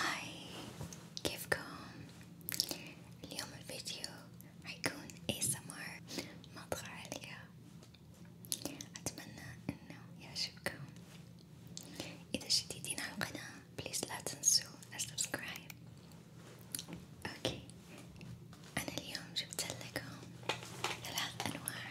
Hi, كيفكم؟ اليوم الفيديو حيكون ASMR نبضة عالية أتمنى إنه يعجبكم إذا جديدين على القناة بليز لا تنسوا السبسكرايب أوكي أنا اليوم جبت لكم ثلاث أنواع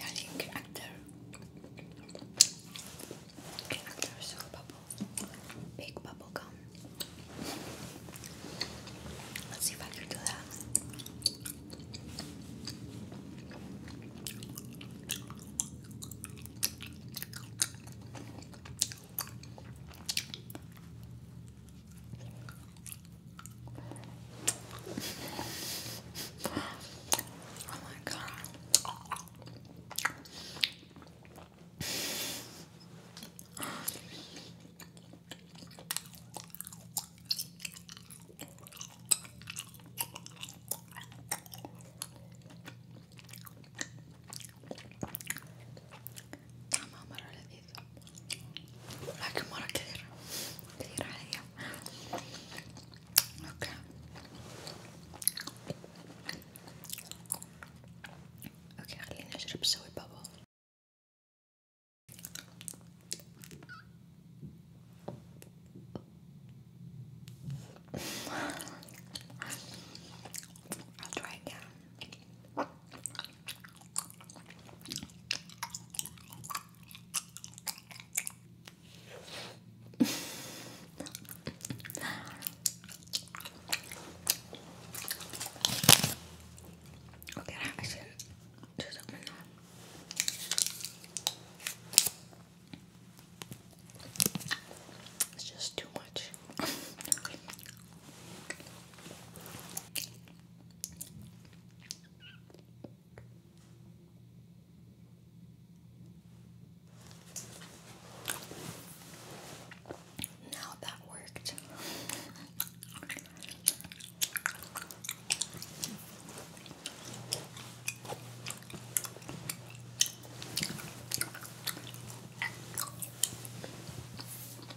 Yani karakter Karakter so bubble Big bubble gum Let's see if I can do that Oh my god. Tamam ara لكن مرة كثير كثير علي اوكي اوكي خليني اجرب اسوي بابا I'll try again okay, I just It's just too much. Now that worked.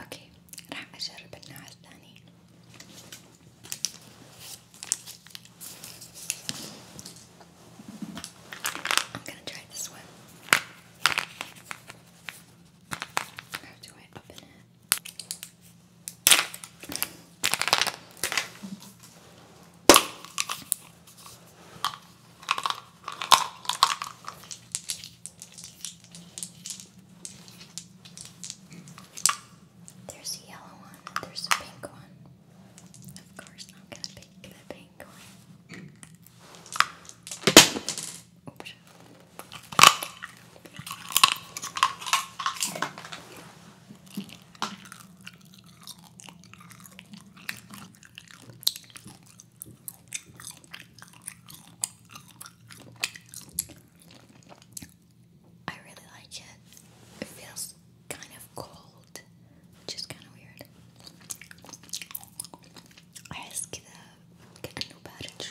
اوكي راح I'm gonna try this one. How do I open it? There's a yellow one, and there's a pink one. Of course, I'm gonna pick the pink one. Oops. I really like it. It feels kind of cold, which is kind of weird. Acho que dá que não para de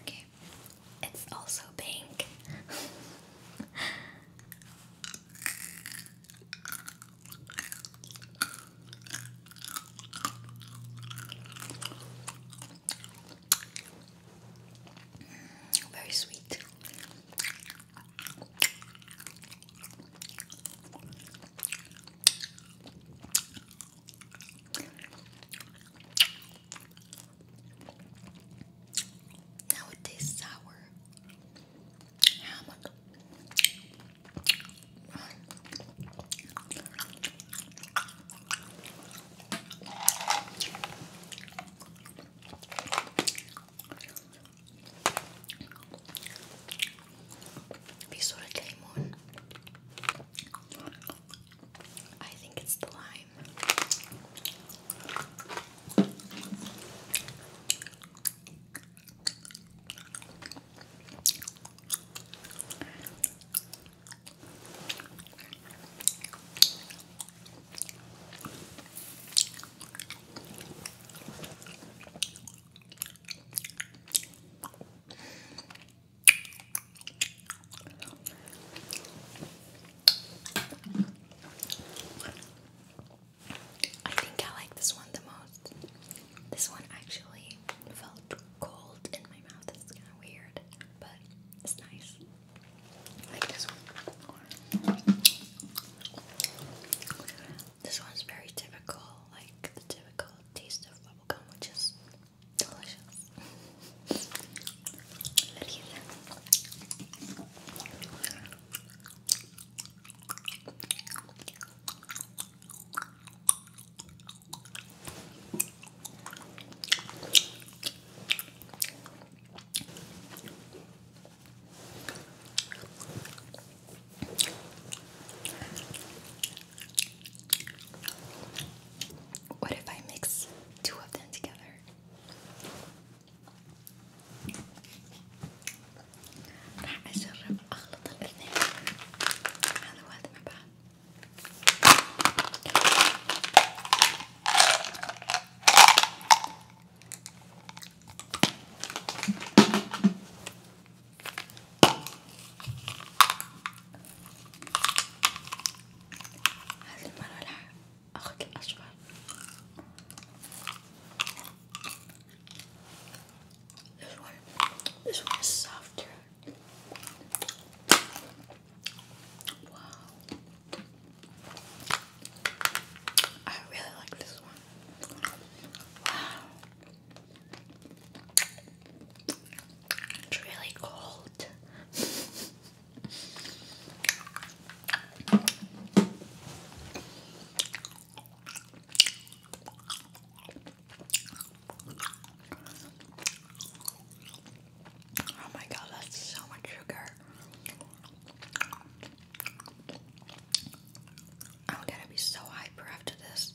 Okay, it's also pink. Very sweet. Now it tastes sour. في صورة ليمون I think it's the lime I think I like this one the most. This one actually felt cold in my mouth. It's kind of weird, but it's nice. like this one. This one's very typical, like the typical taste of bubble gum, which is delicious. What if I mix two of them together? راح أجرب أخلط الاثنين هذا وهذا مع بعض. This one, this one is softer. Wow. I really like this one. It's really cold. Oh my god, that's so much sugar. I'm gonna be so hyper after this.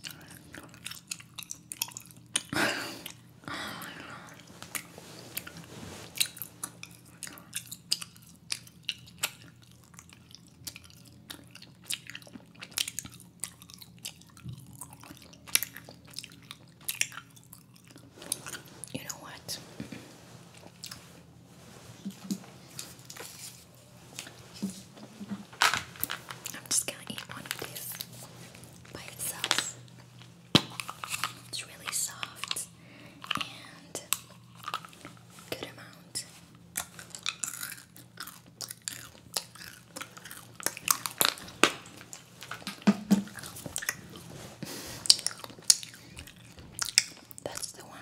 You know what? I'm just gonna eat one of these by itself. It's really soft and good amount. That's the one.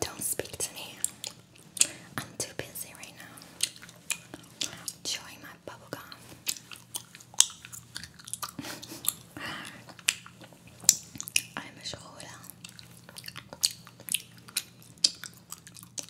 Don't speak to me. I'm too busy right now. Chewing my bubblegum. I'm a shoulder.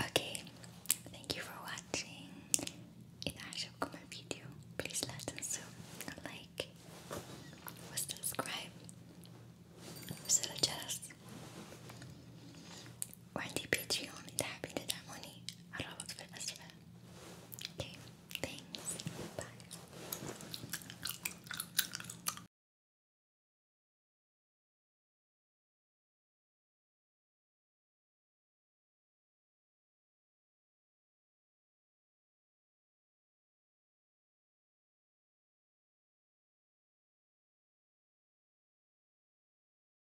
okay, thank you for watching. In Ashok Kumar video, please let us know, like, or subscribe. So, just وعندي باتريون إذا حابين تدعموني الرابط في الأسفل okay thanks bye